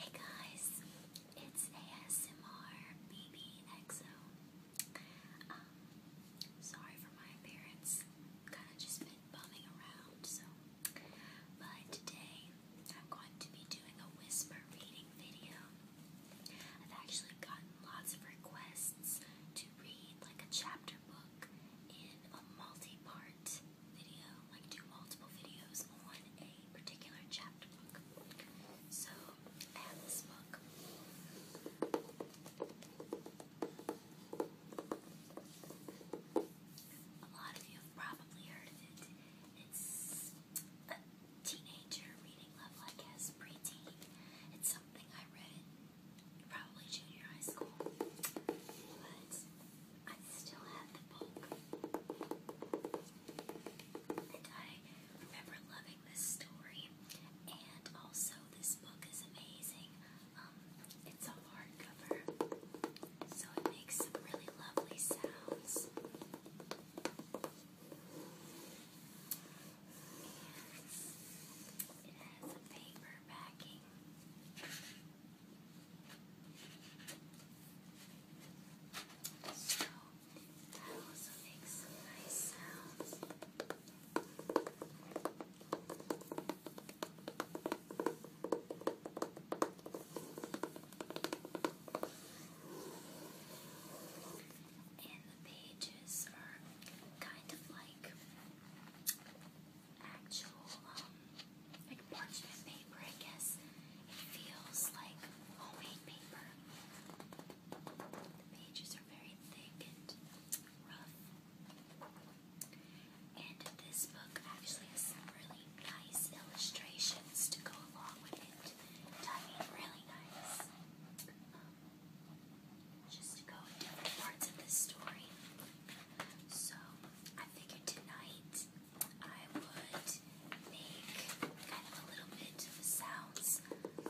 Hey guys, it's ASMR BBXO. Um, sorry for my appearance. Kind of just been bumming around, so. But today I'm going to be doing a whisper reading video. I've actually gotten lots of requests to read like a chapter book in a multi-part video, like do multiple videos on a particular chapter book. So I have this book. A lot of you have probably heard it. It's a teenager reading level, I guess, preteen. It's something I read probably junior high school. I still had the book. And I remember loving this story. And also, this book is amazing. Um, it's a hardcover, so it makes some really lovely sounds. And it has a paper backing. So that also makes nice sounds. And the pages are kind of like actual um like parchment paper, I guess. It feels like homemade paper. The pages are very thick and rough. And this book actually has really nice illustrations to go along with it. really nice. Um, just to go in different parts of the story. So, I figured tonight I would make kind of a little bit of a sounds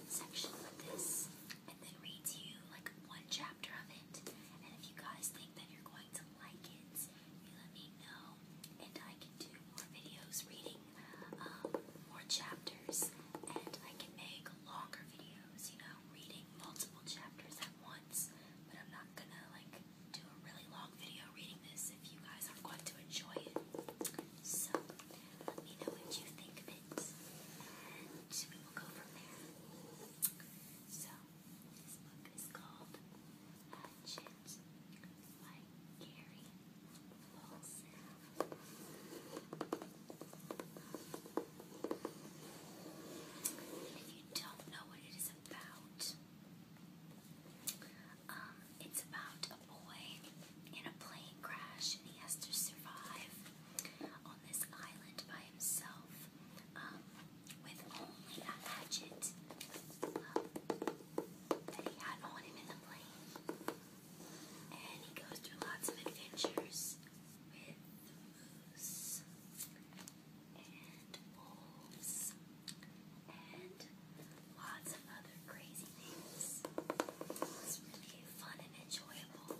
section of this and then read to you like one chapter of it. And if you guys think that you're going to like it, you let me know. And I can do more videos reading um, more chapters. And I can make longer videos, you know, reading multiple chapters at once. But I'm not gonna like do a really long video reading this if you guys are going to enjoy it. So, let me know what you think of it, and we will go from there. So, this book is called Hatchet by Gary Wilson. If you don't know what it is about, um, it's about a boy in a plane crash, and he has to survive on this island by himself um, with only a hatchet um, that he had on him in the plane. And he goes through lots of adventures with moose and wolves and lots of other crazy things. It's really fun and enjoyable.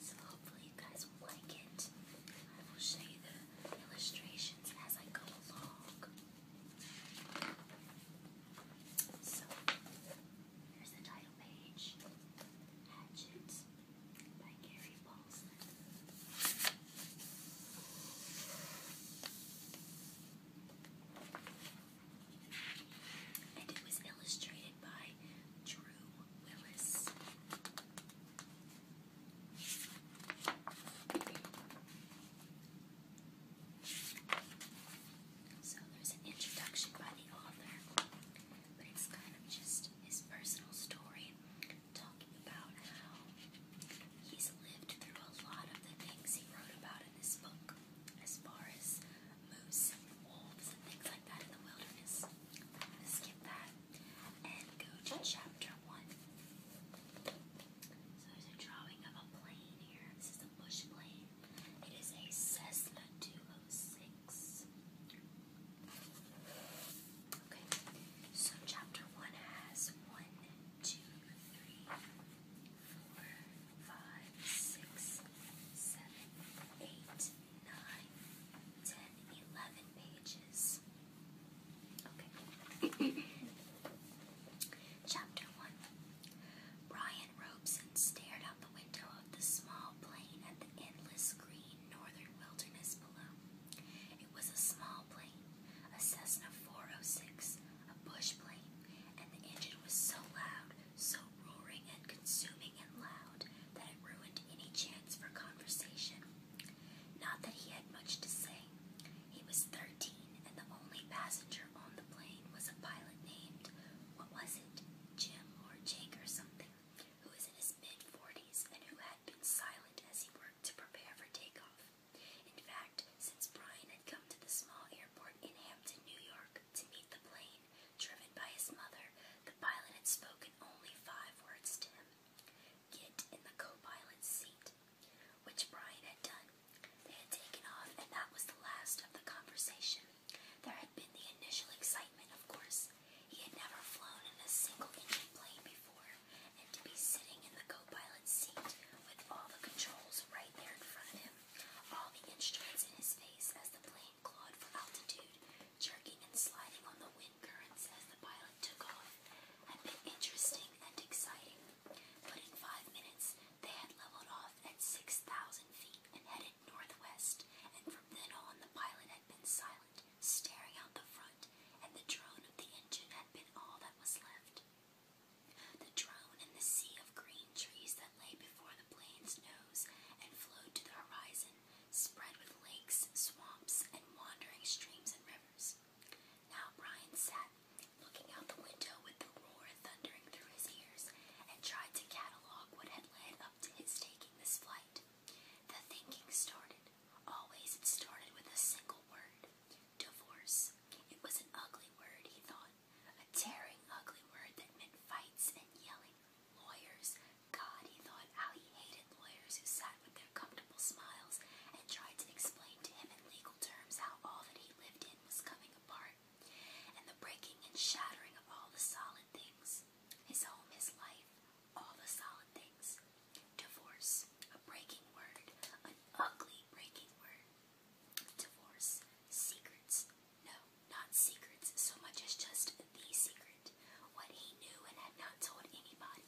So hopefully you guys will like it. I will show you the illustrations as I go along. So, here's the title page. Hatchet by Gary And it was illustrated by Drew Willis. So there's an introduction by the author but it's kind of just his personal story, talking about how he's lived through a lot of the things he wrote about in this book, as far as moose and wolves and things like that in the wilderness. I'm gonna skip that and go to chapter one. So there's a drawing of a plane here. This is a bush plane. It is a Cessna 206. Okay, so chapter one has one, two, three, four, five, six, seven, eight, nine, ten, eleven pages. Okay. Chapter 1 Brian Robeson stared out the window of the small plane at the endless green northern wilderness below. It was a small plane, a Cessna 406, a bush plane, and the engine was so loud, so roaring and consuming and loud, that it ruined any chance for conversation. Not that he had much to say. He was thirteen, and the only passenger on the plane was a pilot named, what was it, Jim or Jake or something, who in his mid 40s and who had been silent as he worked to prepare for takeoff. In fact, since Brian had come to the small airport in Hampton, New York, to meet the plane driven by his mother, the pilot had spoken only five words to him Get in the co pilot's seat, which Brian had done. They had taken off, and that was the last of the conversation. There had been the initial excitement, of course, Paris. He had never flown in a single engine plane before, and to be sitting in the co pilot's seat with all the controls right there in front of him, all the instruments in his face as the plane clawed for altitude, jerking and sliding on the wind currents as the pilot took off, had been interesting and exciting. But in five minutes, they had leveled off at 6,000 feet and headed northwest, and from then on the pilot had been silent, staring out the front, and the drone of the engine had been all that was left. The drone and the sea of green trees that lay before the plane's nose and flowed to the horizon, spread with lakes, swamps, and wandering streams and rivers. Now Brian sat, looking out the window with the roar thundering through his ears, and tried to catalog what had led up to his taking this flight. The thinking started. Always it started with a single word divorce. It was an ugly word, he thought. A tearing, ugly word that meant fights and yelling. Lawyers. God, he thought how he hated lawyers who sat with their comfortable smiles and tried to explain to him in legal terms how all that he lived in was coming apart. And the breaking and shattering of all the solid things his home, his life, all the solid things. Divorce, a breaking word, an ugly breaking word. Divorce, secrets, no, not secrets so much as just the secret. What he knew and had not told anybody.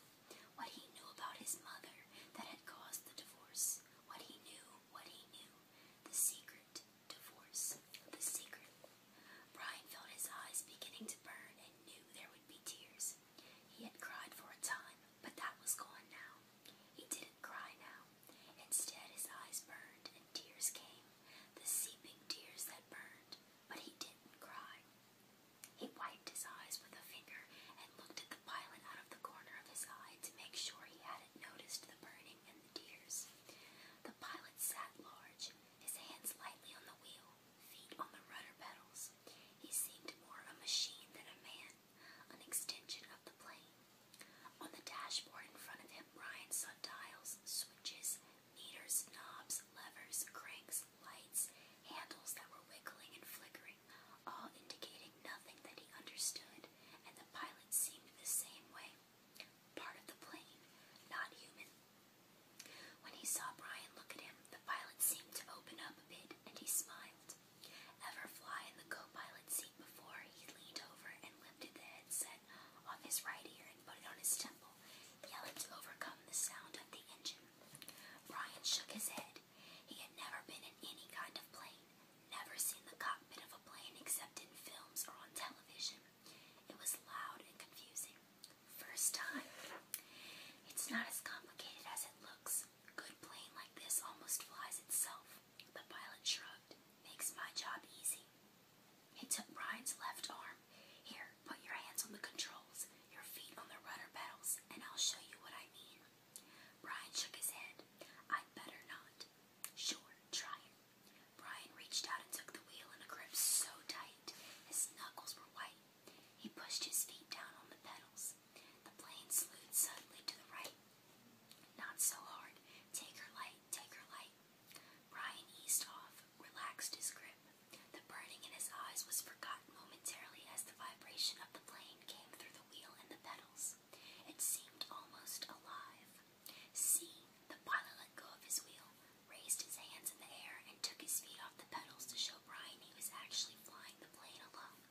What he knew about his mother that had caused the divorce. What he knew, what he knew. The secret, divorce, the secret. Brian felt his eyes beginning to burn and knew there would be tears. He had cried for a time, but that was gone now. He didn't cry now. Instead, his eyes burned and tears came, the seeping tears that burned, but he didn't cry. He wiped his eyes with a finger and looked at the pilot out of the corner of his eye to make sure he hadn't noticed the burning and the tears. The pilot sat large, his hands lightly on the wheel, feet on the rudder pedals. He seemed more a machine than a man, an extension of the plane. On the dashboard in front of him, Ryan saw dials, switches, meters, knobs, levers, cranks, lights, handles that were wiggling and flickering, all indicating nothing that he understood, and the pilot seemed the same way. Part of the plane, not human. When he saw Brian look at him, the pilot seemed to open up a bit and he smiled. Ever fly in the co pilot seat before, he leaned over and lifted the headset off his right ear and put it on his temple, yelling to overcome the sound of the engine. Brian shook his head. He had never been in any kind of plane, never seen the cockpit of a plane except in films or on television. It was loud and confusing. First time. It's not as complicated as it looks. Good plane like this almost flies itself. The pilot shrugged. Makes my job easy. He took Brian's left arm. Here, put your hands on the controls, your feet on the rudder pedals, and I'll show you what I mean. Brian shook his head. I'd better not. Sure, try it. Brian reached out and took the wheel in a grip so tight his knuckles were white. He pushed his feet down on the pedals. The plane slewed suddenly to the right. Not so hard. Take her light, take her light. Brian eased off, relaxed his grip. The burning in his eyes was forgotten momentarily as the vibration of the plane came through the wheel and the pedals. It seemed almost alive. See, the pilot let go of his wheel, raised his hands in the air, and took his feet off the pedals to show Brian he was actually flying the plane alone.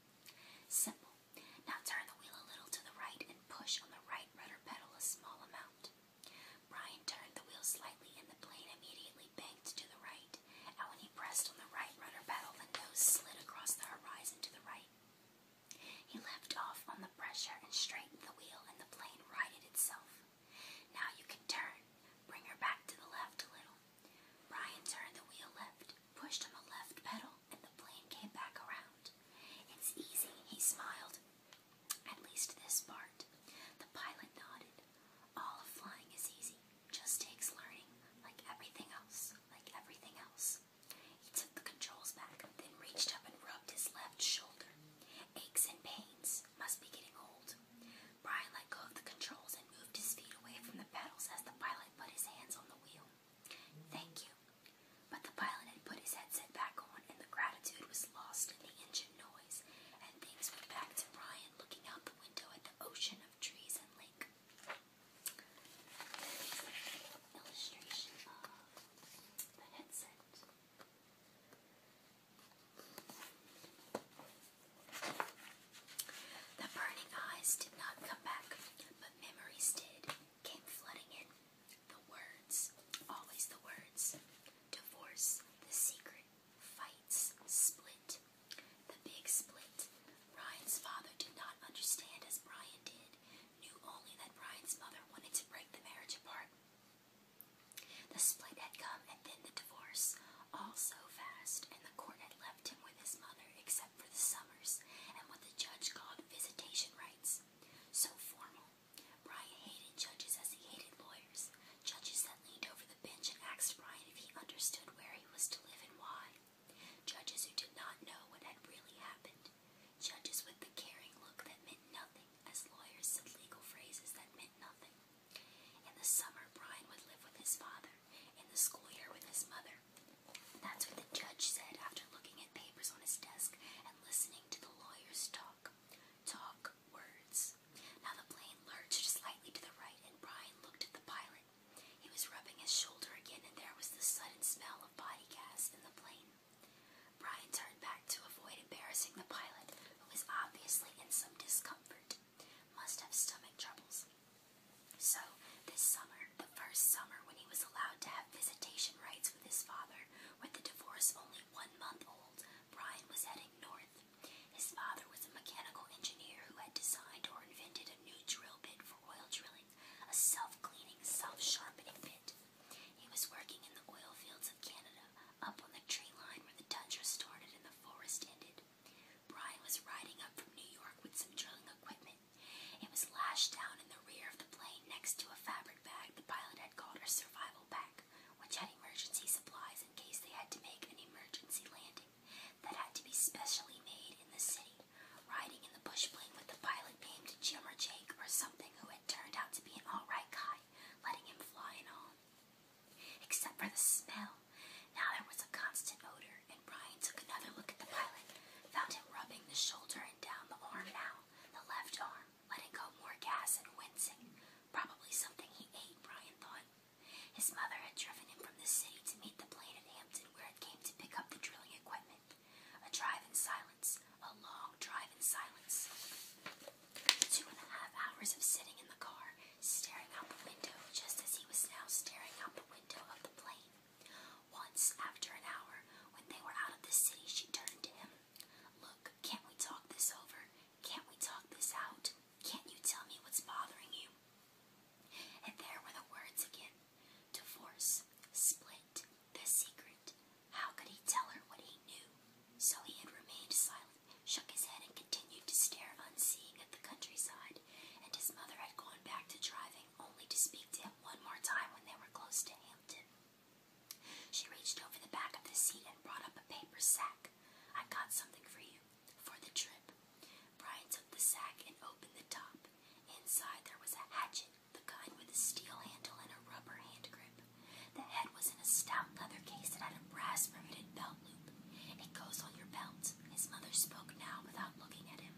Simple. Now turn the wheel a little to the right and push on the right rudder pedal a small amount. Brian turned the wheel slightly and the plane immediately banked to the right, and when he pressed on the right rudder pedal, the nose slid across the horizon to the right. He left off on the pressure and straightened the wheel, and the plane righted itself. Now you can turn. Bring her back to the left a little. Brian turned the wheel left, pushed on the left pedal, and the plane came back around. It's easy, he smiled. At least this part. The pilot nodded. All of flying is easy, just takes learning, like everything else, like everything else. He took the controls back, then reached up and rubbed his left shoulder. Aches and pains must be getting old. Brian let go of the controls and moved his feet away from the pedals as the pilot put his hands on the wheel. Thank you. But the pilot had put his headset back on, and the gratitude was lost in the engine noise, and things went back to Brian looking out the window at the ocean of trees and lake. Illustration of the headset. The burning eyes did not come back, but memories did, came flooding in. The words, always the words. Divorce, the secret, fights, split. The big split. Brian's father did not understand as Brian did, knew only that Brian's mother wanted to break the marriage apart. The split had come and then the divorce, all so fast, and the court had left him with his mother except for the summers and what the judge called visitation rights. So formal. Brian hated judges as he hated lawyers, judges that leaned over the bench and asked Brian if he understood where he was to live and why, judges who did not know what had really happened, judges with the caring look that meant nothing as lawyers said legal phrases that meant nothing. In the summer, Brian would live with his father, in the school year with his mother. That's what the judge said after looking at papers on his desk and listening to the lawyers talk. Talk words. Now the plane lurched slightly to the right, and Brian looked at the pilot. He was rubbing his shoulder again, and there was the sudden smell of body gas in the plane. Brian turned back to avoid embarrassing the pilot, who was obviously in some discomfort. Must have stomach troubles. So, this summer, the first summer when he was allowed to have visitation rights with his father, with the divorce only one month old, Brian was heading north. His father was a mechanical engineer who had designed or invented a new drill bit for oil drilling, a self cleaning, self sharpening bit. He was working in the oil fields of Canada, up on the tree line where the tundra started and the forest ended. Brian was riding up from New York with some drilling equipment. It was lashed down in the rear of the plane next to a fabric bag the pilot had called her survival bag, which had emergency supplies in case they had to make an emergency landing that had to be specially made in the city. Riding in the bush plane with the pilot named Jim or Jake or something who Edwin turned out to be an alright guy, letting him fly and all. Except for the smell. Now there was a constant odor, and Brian took another look at the pilot, found him rubbing the shoulder and down the arm now, the left arm, letting go more gas and wincing. Probably something he ate, Brian thought. His mother had driven him from the city to meet the plane at Hampton where it came to pick up the drilling equipment. A drive in silence, a long drive in silence. Two and a half hours of sitting in the car, staring out the window just as he was now staring out the window of the plane. Once, after an hour, when they were out of the city, she turned to him. Look, can't we talk this over? Can't we talk this out? Can't you tell me what's bothering you? And there were the words again divorce, split, the secret, how could he tell her what he knew? So he had remained silent, shook his head, and continued to stare unseeing at the countryside, and his mother had gone back to driving, only to speak to him one more time when they were close to Hampton. She reached over the back of the seat and brought up a paper sack. I got something for you, for the trip. Brian took the sack and opened the top. Inside there was a hatchet, the kind with a steel handle and a rubber hand grip. The head was in a stout leather case that had a brass riveted belt loop. It goes on your belt. His mother spoke now without looking at him.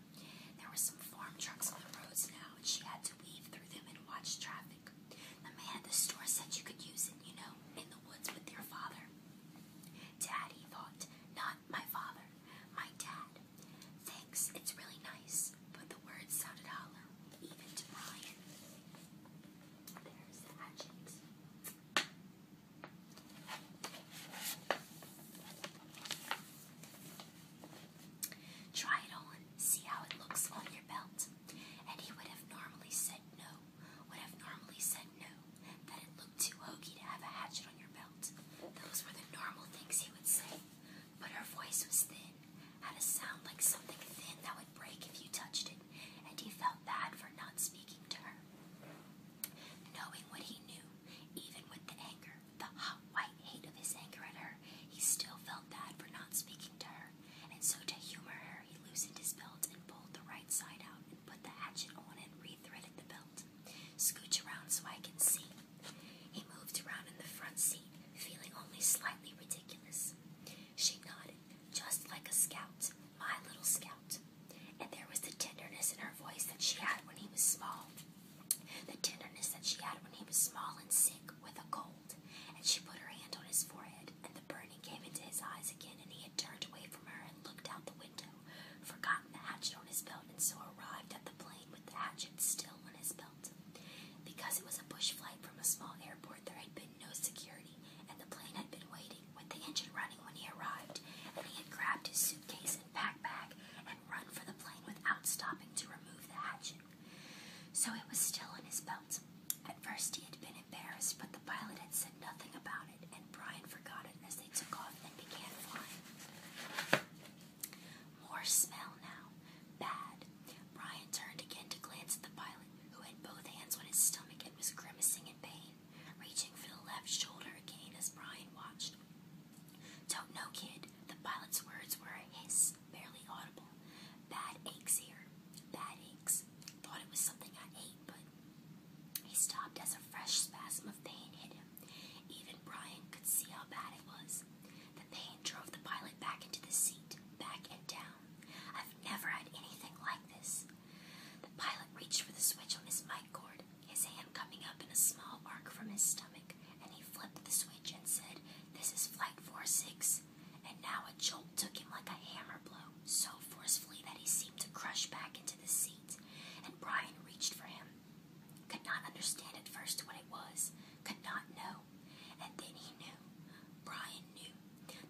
There were some farm trucks on the roads now, and she had to weave through them and watch traffic. The man at the store said you could use it, you know, in the woods with your father. Dad, he thought, not my father, my dad. Thanks, it's really nice but the words sounded hollow, even to Brian. There's the hatchet. Try it on, see how it looks on your belt. And he would have normally said no, would have normally said no, that it looked too hokey to have a hatchet on your belt. Those were the normal things he would say but her voice was thin, had a sound like something thin that would break if you touched it, and he felt bad for not speaking to her. Knowing what he knew, even with the anger, the hot white hate of his anger at her, he still felt bad for not speaking to her, and so to humor her, he loosened his belt and pulled the right side out and put the hatchet on and rethreaded the belt. Scooch around so I can see. He moved around in the front seat feeling only slightly ridiculous. She nodded, just like a scout, my little scout. And there was the tenderness in her voice that she had when he was small. The tenderness that she had when he was small and sick with a cold. And she put her hand on his forehead, and the burning came into his eyes again, and he had turned away from her and looked out the window, forgotten the hatchet on his belt, and so arrived at the plane with the hatchet still on his belt result. Because it was a bush flight from a small airport, there had been no security, and the plane had been waiting with the engine running when he arrived, and he had grabbed his suitcase and backpack and run for the plane without stopping to remove the hatchet. So it was still in his belt. At first, he had been embarrassed, but the pilot had said nothing about it, and Brian forgot it as they took off and began flying. More smell now. Bad. Brian turned again to glance at the pilot, who had both hands on his stomach and was grimacing in pain, reaching for the left shoulder again as Brian watched. Don't know, kid. The pilot's words were a hiss, barely audible. Bad aches here. Bad aches. Thought it was something I ate, but. He stopped as a fresh spasm of pain hit him. Even Brian could see how bad it was. The pain drove the pilot back into the seat, back and down. I've never had anything like this. The pilot reached for the switch on his mic cord, his hand coming up in a small arc from his stomach, and he flipped the switch and said, This is Flight 46. And now a jolt took him like a hammer blow, so forcefully that he seemed to crush back into the seat. And Brian reached for him. Could not understand at first what it was, could not know, and then he knew. Brian knew.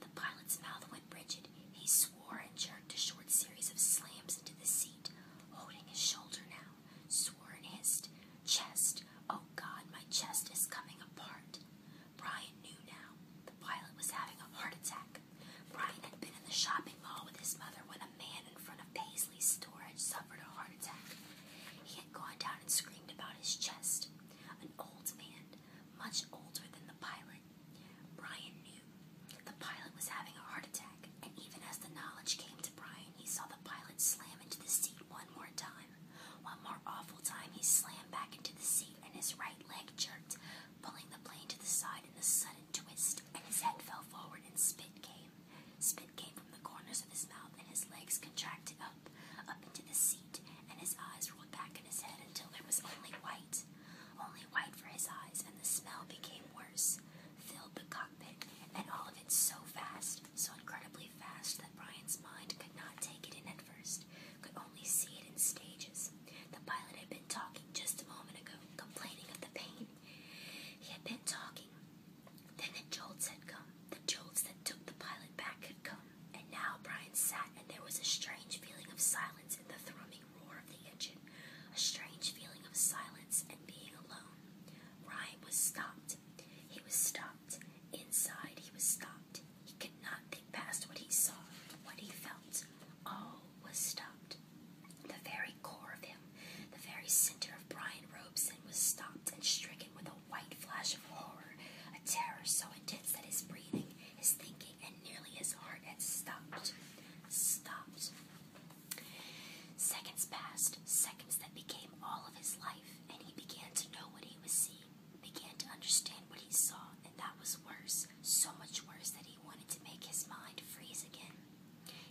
The pilot's mouth went rigid. He swore and jerked a short series of slams into the seat, holding his shoulder now. Swore and hissed. Chest. Oh God, my chest is coming apart. Brian knew now. The pilot was having a heart attack. Brian had been in the shopping mall with his mother when a man in front of Paisley's store had suffered a heart attack gone down and screamed about his chest. An old man, much older than the pilot. Brian knew the pilot was having a heart attack, and even as the knowledge came to Brian, he saw the pilot slam into the seat one more time. One more awful time, he slammed back into the seat, and his right leg jerked, pulling the plane to the side in a sudden twist, and his head fell forward, and spit came. Spit came from the corners of his mouth, and his legs contracted up, up into the seat, and his eyes rolled back in his head until there was only white. Only white for his eyes, and the smell became worse. Filled the cockpit, and all of it so fast, so incredibly fast that Brian's mind could not take it in at first, could only see it in stages. The pilot had been talking just a moment ago, complaining of the pain. He had been talking. Then the jolts had come, the jolts that took the pilot back had come, and now Brian sat, and there was a strange feeling of silence in the thrumming roar of the engine, a strange feeling of silence and being alone. Brian was stopped. He was stopped. Inside, he was stopped. He could not think past what he saw, what he felt. All was stopped. The very core of him, the very center of Brian Robeson, was stopped and stricken with a white flash of horror, a terror so intense that his breathing, his thinking, and nearly his heart had stopped. Stopped. Seconds passed, seconds that became all of his life, and he began to know what he was seeing, began to understand what he saw, and that was worse, so much worse that he wanted to make his mind freeze again.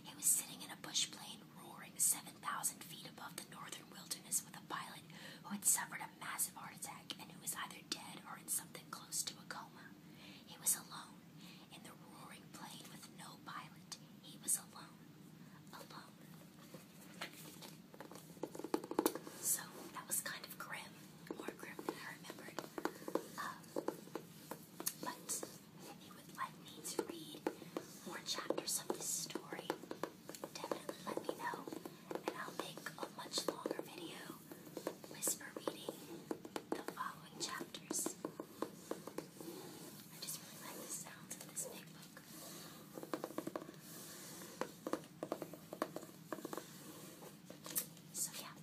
He was sitting in a bush plane, roaring. 7,000 feet above the northern wilderness with a pilot who had suffered a massive heart attack and who was either dead or in something close to a coma. He was alone in the roaring plane with no pilot. He was alone. Alone. So that was kind of grim. More grim than I remembered. Um, but if you would like me to read more chapters of this story, definitely let me know, and I'll make a much longer video whisper reading the following chapters. I just really like the sounds of this big book. So, yeah,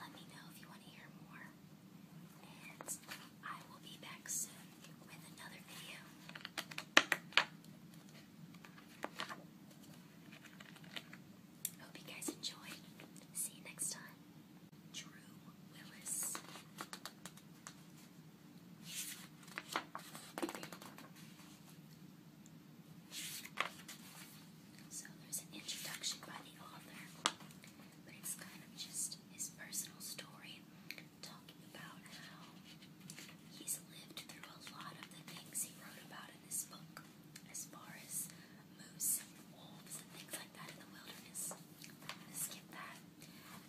let me know if you want to hear more, and I will be back soon Hope you guys enjoyed. See you next time. Drew Willis. So there's an introduction by the author, but it's kind of just his personal story talking about how he's lived through a lot of the things he wrote about in this book, as far as moose and wolves and things like that in the wilderness. skip that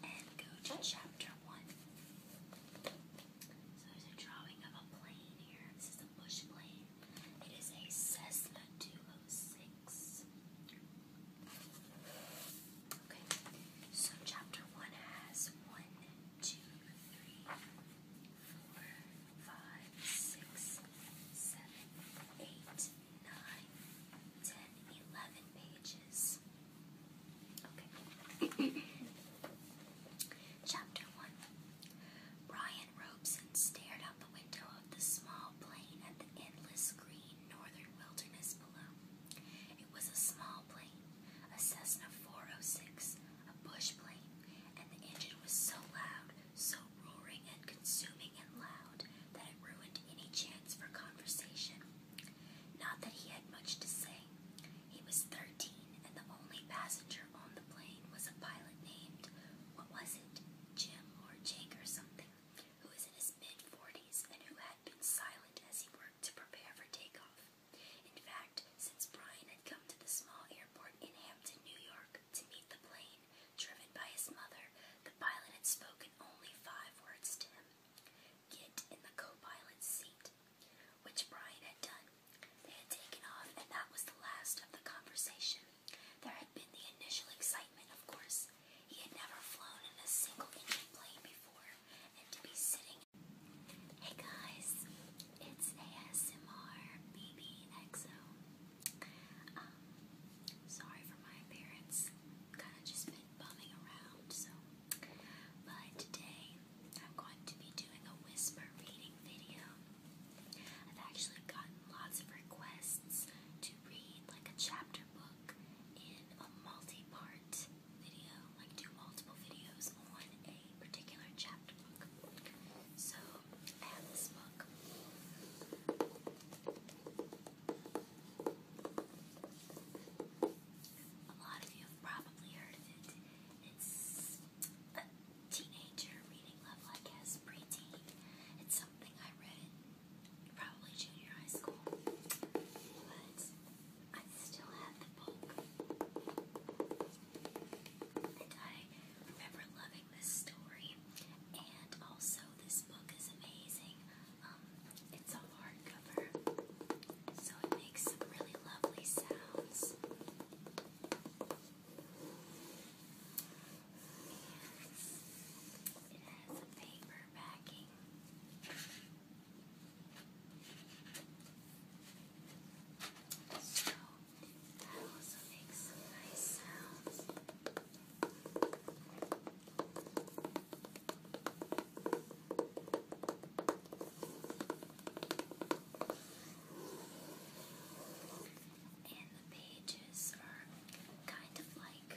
and go to chapter 1. So there's a drawing of a plane here. This is a bush plane. It is a Cessna 206. Okay, so chapter one has one, two, three, four, five, six, seven, eight, nine, ten, eleven pages. Okay. chapter one. Brian Robeson stared out the window of the small plane at the endless green northern wilderness below. It was a small small plane, a Cessna 406, a bush plane, and the engine was so loud, so roaring and consuming and loud, that it ruined any chance for conversation. Not that he had much to say. He was thirteen, and the only passenger on the plane was a pilot named, what was it, Jim or Jake or something, who was in his mid forties and who had been silent as he worked to prepare for takeoff off. In fact, since Brian had come to the small airport in Hampton, New York, to meet the plane driven by his mother, the pilot had spoken only five words to him Get in the co pilot's seat, which Brian had done. They had taken off, and that was the last of the conversation. There had been the initial excitement, of course. He had never flown in a single engine plane before, Hey guys, it's ASMR BBXO. Um, sorry for my appearance. Kind of just been bumming around, so. But today I'm going to be doing a whisper reading video. I've actually gotten lots of requests to read like a chapter book in a multi-part video, like do multiple videos on a particular chapter book. So this book. A lot of you have probably heard of it. It's a teenager reading level, I guess, preteen. It's something I read probably junior high school. I still had the book. And I remember loving this story. And also, this book is amazing. Um, it's a hardcover, so it makes some really lovely sounds. And it has a paper backing. So that also makes nice sounds. And the pages are kind of like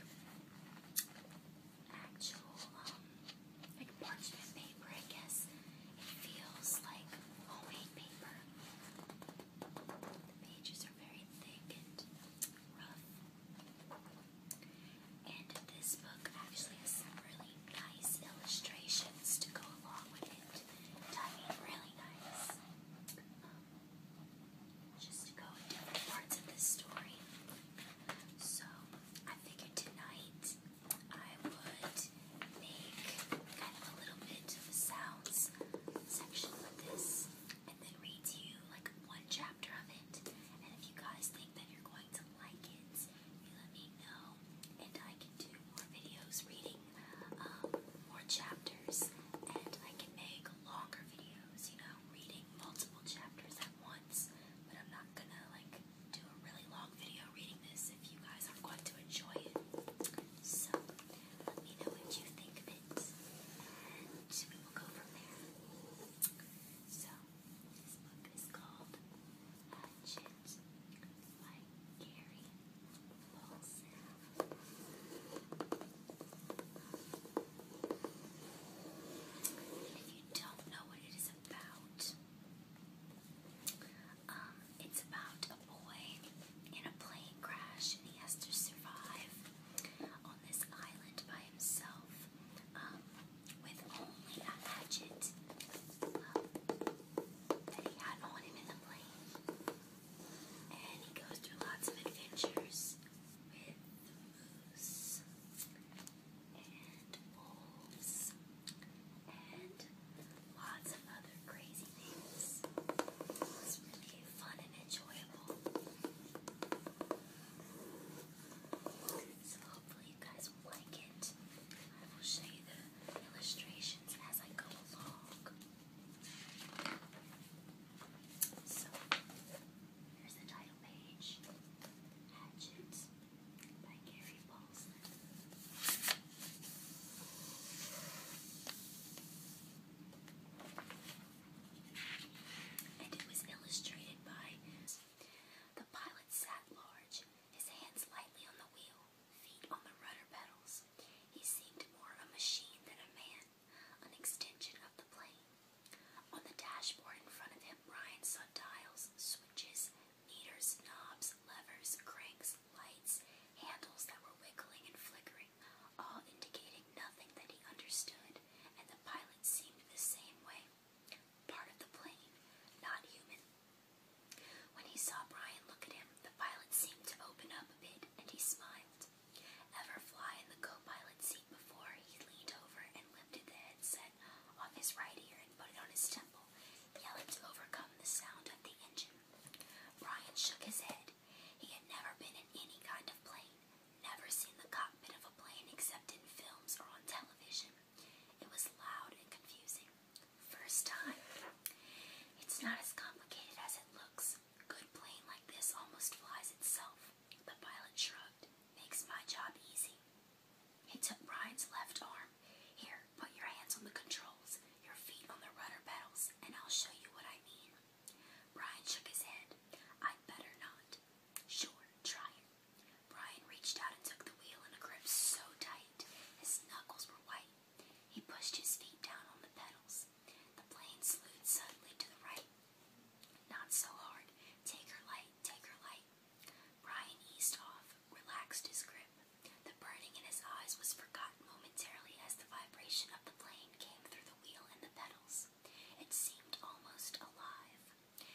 actual um, like parchment paper, I guess. It feels like homemade paper. The pages are very thick and rough. And this book actually has some really nice illustrations to go along with it. I mean, really nice. Um, just to go different parts of the story. So I figured tonight I would make kind of a little bit of a sounds section with this and then read you like one chapter of it. And if you guys think that you're going to like it, you let me know and I can do more videos reading um, more chapters and I can make longer videos, you know, reading multiple chapters at once but I'm not gonna like do a really long video reading this if you guys are going to enjoy it. So let me know what you think of it, and we will go from there. So this book is called Hatchet by Gary don't know what it is about. Um, it's about a boy in a plane crash, and he has to survive on this island by himself um, with only a hatchet um, that he had on him in the plane. And he goes through lots of adventures with the moose and wolves and lots of other crazy things. It really fun and enjoyable. So hopefully you guys will like it. I will show you the illustrations as I go along. So Here's the title page Hatchets by Gary Paulson. And it was illustrated by the pilot sat large, his hands lightly on the wheel, feet on the rudder pedals. He seemed more a machine than a man, an extension of the plane. On the dashboard in front of him, Brian saw dials, switches, meters, knobs, levers, cranks, lights, handles that were wiggling and flickering, all indicating nothing that he understood, and the pilot seemed the same way. Part of the plane, not human. When he saw Brian look at him, the pilot seemed to open up a bit, and he smiled. Ever fly in the co pilot seat before, he leaned over lifted the headset off his right ear and put it on his temple, yelling to overcome the sound of the engine. Brian shook his head. He had never been in any kind of plane, never seen the cockpit of a plane except in films or on television. It was loud and confusing. First time. It's not as complicated as it looks. good plane like this almost flies itself. The pilot shrugged. Makes my job easy. He took Brian's left arm. Here, put your hands on the controls, your feet on the rudder pedals, and I'll show you what I mean. Brian shook his head. i better not. Sure, try it. Brian reached out and took the wheel in a grip so tight his knuckles were white. He pushed his feet down on the pedals. The plane slewed suddenly to the right. Not so hard. Take her light, take her light. Brian eased off, relaxed his grip. The burning in his eyes was forgotten momentarily as the vibration of the plane came through the wheel and the pedals. It seemed almost alive.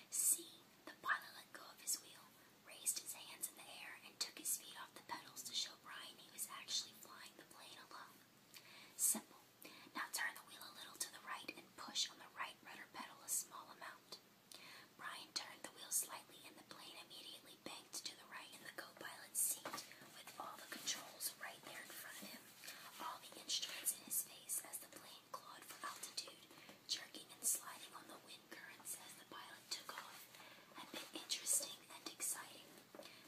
See, the pilot let go of his wheel, raised his hands in the air, and took his feet off the pedals to show Brian he was actually flying the plane alone. Simple. Now turn the wheel a little to the right and push on the right rudder per pedal a small amount. Brian turned the wheel slightly, and the plane immediately banked to the right in the co-pilot's seat, with all the controls right there in front of him, all the instruments in his face as the plane clawed for altitude, jerking and sliding on the wind currents as the pilot took off, had been interesting and exciting.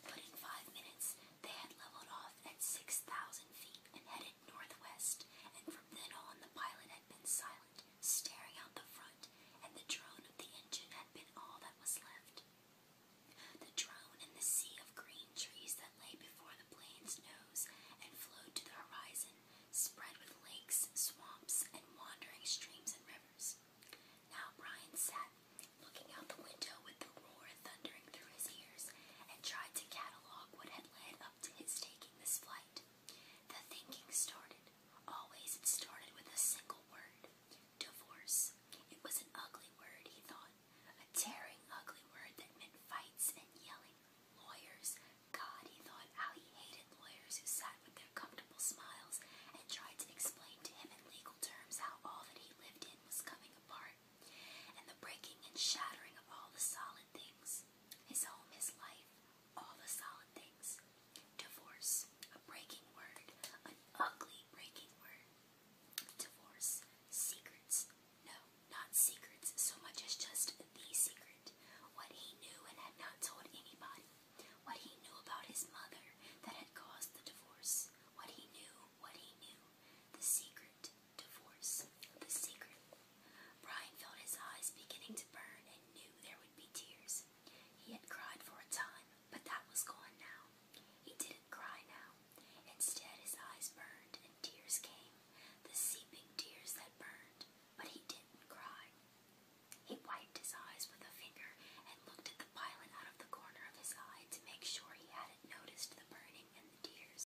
But in five minutes, they had leveled off at 6,000 feet and headed northwest, and from then on the pilot had been silent, staring out the front, and the drone of the engine had been all that was left. The drone and the sea of green trees that lay before the plane's nose and flowed to the horizon, spread with lakes, swamps, and wandering streams and rivers. Now Brian sat, looking out the window with the roar thundering through his ears, and tried to catalog what had led up taking this flight. The thinking started. Always it started with a single word divorce. It was an ugly word, he thought, a tearing, ugly word that meant fights and yelling. Lawyers. God, he thought, how he hated lawyers who sat with their comfortable smiles and tried to explain to him in legal terms how all that he lived in was coming apart and the breaking and shattering of all the solid things his home, his life, all the solid things. Divorce, a breaking word, an ugly breaking word. Divorce, secrets, no, not secrets so much as just the secret. What he knew and had not told anybody. What he knew about his mother that had caused the divorce. What he knew, what he knew. The secret, divorce. The secret. Brian felt his eyes beginning to burn and knew there would be tears. He had cried for a time, but that was gone now. He didn't cry now. Instead, his eyes burned and tears came, the seeping tears that burned, but he didn't cry. He wiped his eyes with a finger and looked at the pilot out of the corner of his eye to make sure he hadn't noticed the burning and the tears.